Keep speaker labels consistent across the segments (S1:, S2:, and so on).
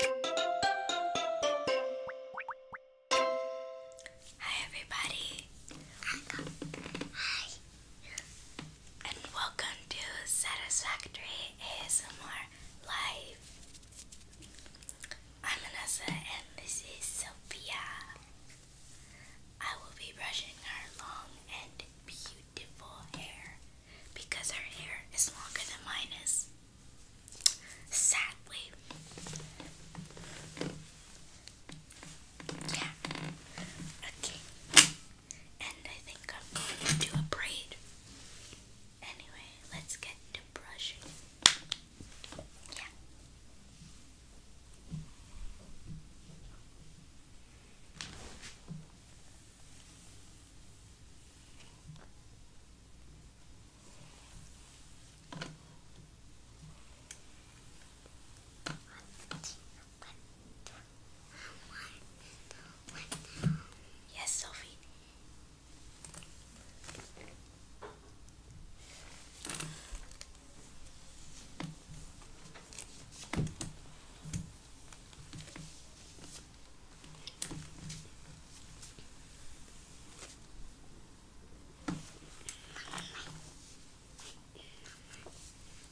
S1: Hi everybody. Hi. And welcome to Satisfactory ASMR Live. I'm Anessa and this is Sophia. I will be brushing her long and beautiful hair because her hair is longer than mine is. Sadly. Yeah. Okay. And I think I'm do a braid. Anyway, let's get to brushing. Yeah. Yes, Sophie.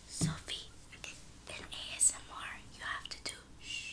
S1: Sophie, in ASMR, you have to do shh.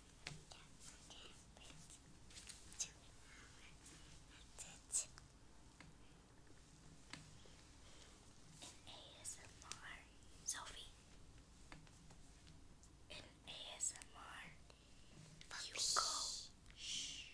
S1: That's Sophie. you Shh.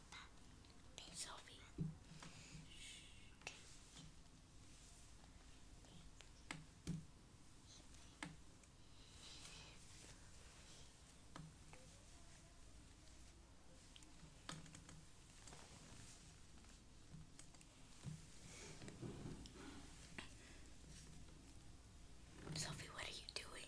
S1: Sophie. Sophie, what are you doing?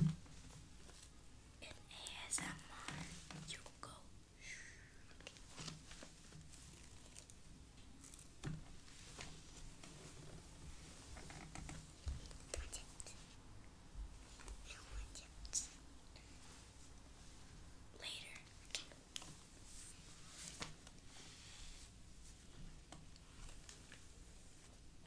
S1: In ASMR, you go. Watch it. No later.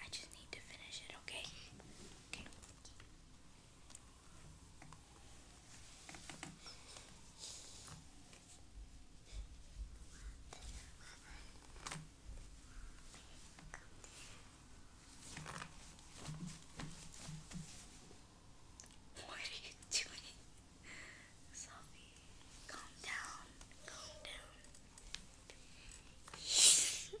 S1: I just need to finish it, okay? Okay. What are you doing? Sophie, calm down. Calm down.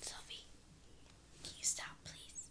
S1: Sophie, can you stop, please?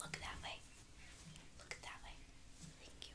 S1: Look that way. Look that way. Thank you.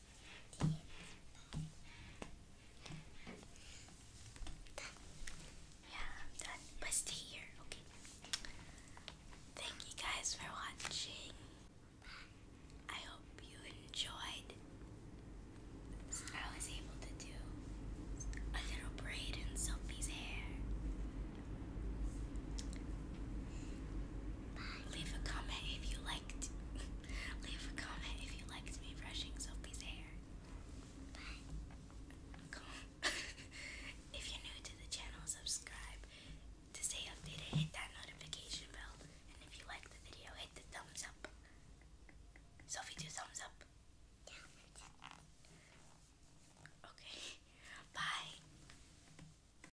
S1: Yeah, I'm done. But stay here, okay? Thank you guys for watching. I hope you enjoyed. I was able to do a little braid in Sophie's hair. Bye. Leave a comment if you Leave a comment if you liked me brushing Sophie's hair. if you're new to the channel, subscribe. To stay updated, hit that notification bell. And if you like the video, hit the thumbs up. Sophie, do thumbs up. Okay. Bye.